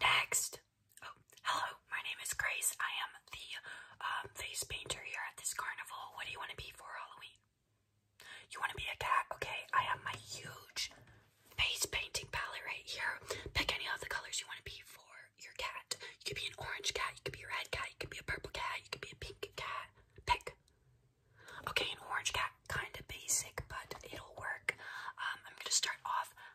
Next. Oh, hello. My name is Grace. I am the um, face painter here at this carnival. What do you want to be for Halloween? You want to be a cat? Okay, I have my huge face painting palette right here. Pick any of the colors you want to be for your cat. You could be an orange cat, you could be a red cat, you could be a purple cat, you could be a pink cat. Pick. Okay, an orange cat, kind of basic, but it'll work. Um, I'm going to start off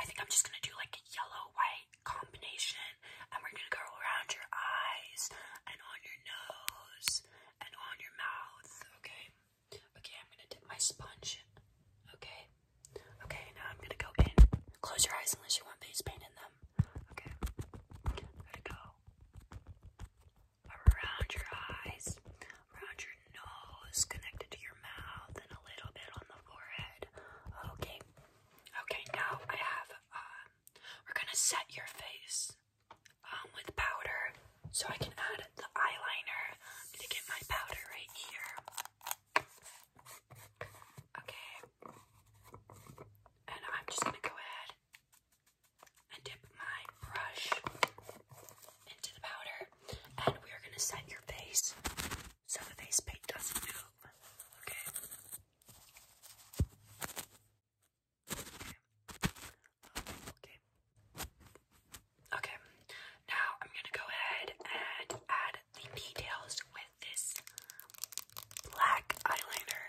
I think I'm just gonna do like a yellow white combination, and we're gonna go around your eyes and on your nose and on your mouth. Okay. Okay, I'm gonna dip my sponge. Okay. Okay, now I'm gonna go in. Close your eyes unless you want face paint in them. Okay. I'm gonna go around your eyes, around your nose, connected to your mouth, and a little bit on the forehead. Okay. Okay, now I have, um, we're gonna set your face um, with powder so I can add the eyeliner. I'm gonna get my powder right here. Okay. And I'm just gonna go ahead and dip my brush into the powder, and we are gonna set your face so the face paint doesn't move. Okay. Okay. Okay. Now I'm gonna go ahead and add the details with this black eyeliner.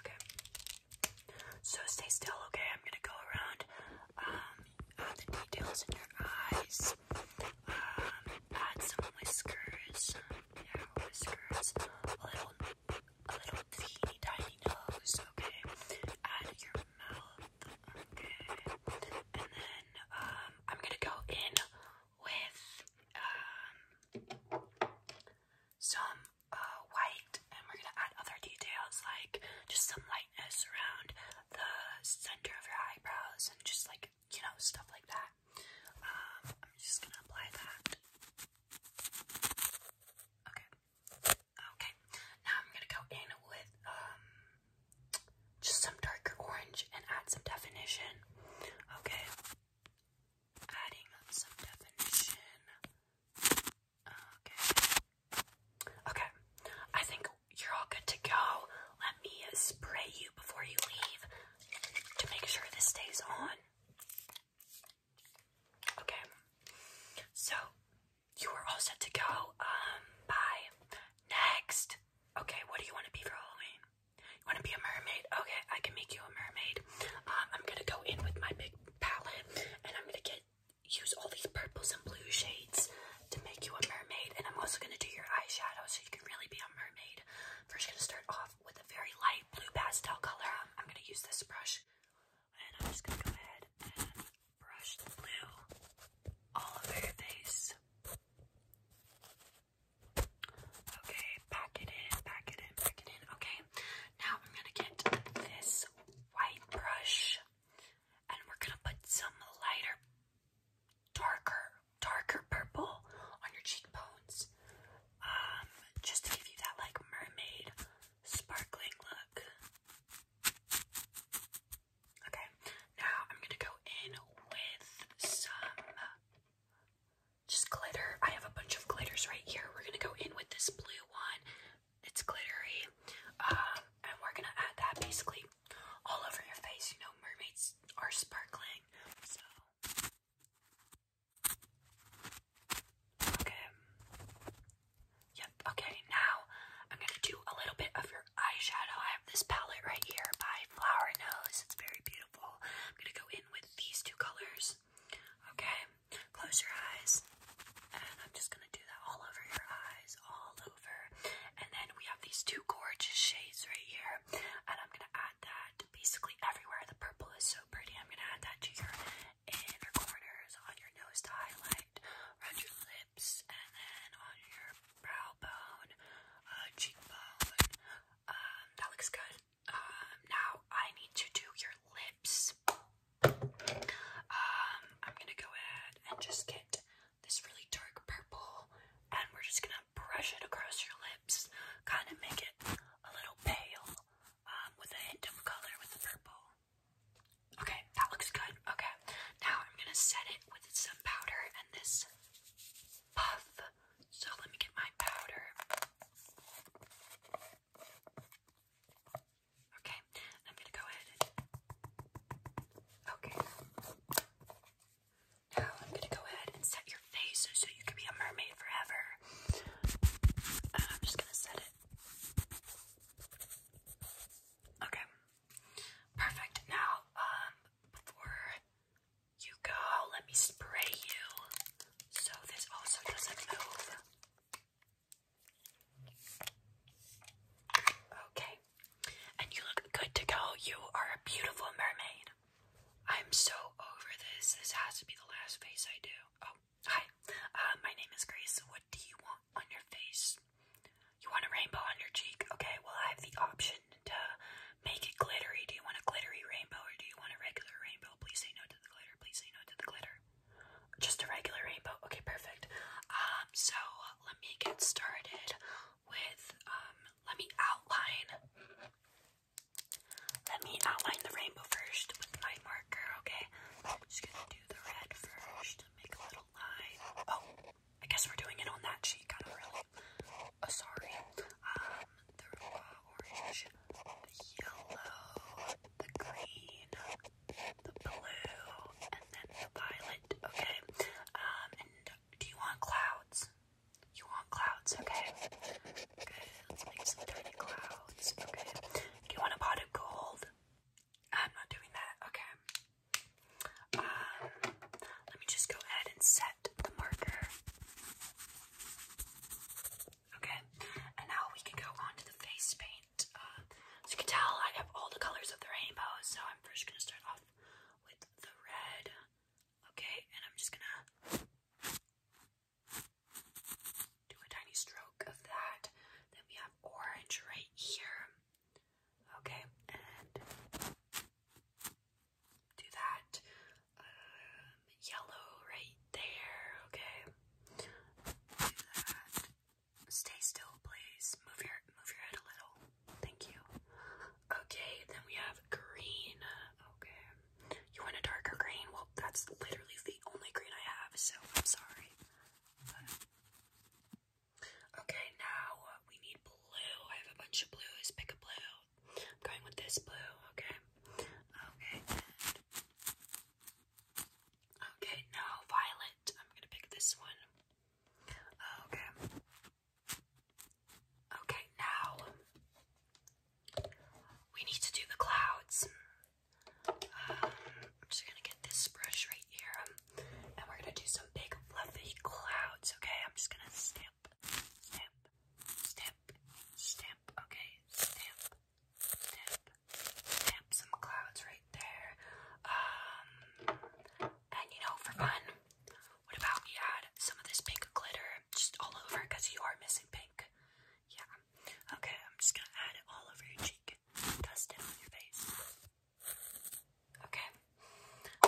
Okay. So stay still, okay? I'm gonna go around um, uh, the details in your eyes, um, add some whiskers, yeah, whiskers, a little, a little teeny tiny nose, okay, add your mouth, okay, and then, um, I'm gonna go in with, um, some, uh, white, and we're gonna add other details, like, just some lightness around the center of your eyebrows and just like, you know, stuff like that. Um, I'm just gonna apply that. Okay. Okay. Now I'm gonna go in with um, just some darker orange and add some definition. Okay. Adding some definition. Okay. Okay. I think you're all good to go. Let me spray you before you leave to make sure this stays on. Okay. So you are all set to go. Um, bye. Next. Okay, what do you want to be for Halloween? You want to be a mermaid? Okay, I can make you a mermaid. Um, I'm gonna go in with my big palette and I'm gonna get use all these purples and blue shades to make you a mermaid. And I'm also going to do your eyeshadow so you can really be a mermaid. I'm first, going to start off with a very light blue pastel color. Um, I'm going to use this brush. And I'm just going to go ahead and brush the blue all over your face. Okay, pack it in, pack it in, pack it in. Okay, now I'm gonna get this white brush and we're gonna put some lighter, darker, darker purple on your cheekbones. Um, just to give you that like mermaid sparkling look. Okay, now I'm gonna go in with some just glitter. I have a bunch of glitters right here. We're gonna go in with this blue one, it's glittery, um, and we're gonna add that basically all over your face. You know, mermaids are sparkling, okay. Yep. Okay. Now I'm gonna do a little bit of your eyeshadow. I have this palette right here by Flower Nose. It's very beautiful. I'm gonna go in with these two colors. Okay. Close your eyes, and I'm just gonna do that all over your eyes, all over. And then we have these two gorgeous shades right here, and I'm gonna add that basically everywhere. The purple is so pretty. I'm gonna add that to your inner corners, on your nose to highlight, around your lips, and then on your brow bone, uh, cheekbone. Um, that looks good. Um, now I need to do your lips. Um, I'm gonna go ahead and just get this really dark purple, and we're just gonna brush it across your lips, kind of make it a little pale, um, with a hint of color with the purple. Okay, that looks good. Okay, now I'm gonna set it with some powder and this puff. So let me get my powder. Okay, I'm gonna go ahead Okay. Now I'm gonna go ahead and set your face so you can be a mermaid forever. And I'm just gonna set it. Okay. Perfect. Now, um, before you go. Let me spray you so this also doesn't move. Okay. And you look good to go. You are a beautiful mermaid. I'm so over this. This has to be the last face I do. Oh, hi. Uh, my name is Grace. What do you want on your face? You want a rainbow on your cheek? Okay, well, I have the option to Make it glittery. Do you want a glittery rainbow or do you want a regular rainbow? Please say no to the glitter. Please say no to the glitter. Just a regular rainbow. Okay, perfect. Um, so let me get started with um let me outline let me outline the rainbow first with my marker, okay? I'm just gonna do the red first, make a little line. Oh, I guess we're doing it on that cheek. I don't really Oh, sorry, um, the orange, the yellow, the green, the blue, and then the violet, okay? Um, and do you want clouds? You want clouds, okay? Okay, let's make some tiny clouds, okay? Do you want a pot of gold? I'm not doing that, okay? Um, let me just go ahead and set the marker. Okay, and now we can go on to the face paint. Uh, so you can tell I have all the colors of the rainbow, so I'm first gonna start off with the red. Okay, and I'm just gonna do a tiny stroke of that. Then we have orange right here. Okay, and do that. Um, yellow right there, okay? Stay still, please. Move your move your head a little. Thank you. Okay, then we have green. Okay. You want a darker green? Well, that's literally the only green I have, so I'm sorry. Okay, now we need blue. I have a bunch of blues. Pick a blue. I'm going with this blue, okay? Okay, Okay, no, violet. I'm gonna pick this one. Okay. Okay, now we need to do the clouds. Um, I'm just gonna get this brush right here and we're gonna do some big fluffy clouds, okay? I'm just gonna stamp, stamp, stamp, stamp, okay? Stamp, stamp, stamp some clouds right there. Um, and you know, for fun, what about we add some of this pink glitter just all over because you are missing pink? Yeah, okay, I'm just gonna add it all over your cheek, dust it on your face. Okay.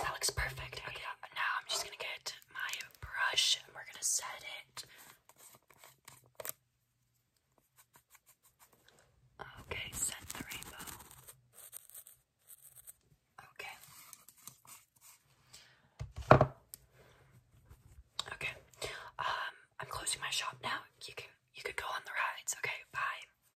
That looks perfect. Okay, uh, now I'm just gonna get my brush and we're gonna set it. Okay, set the rainbow. Okay. Okay. Um, I'm closing my shop now. You can you could go on the rides. Okay, bye.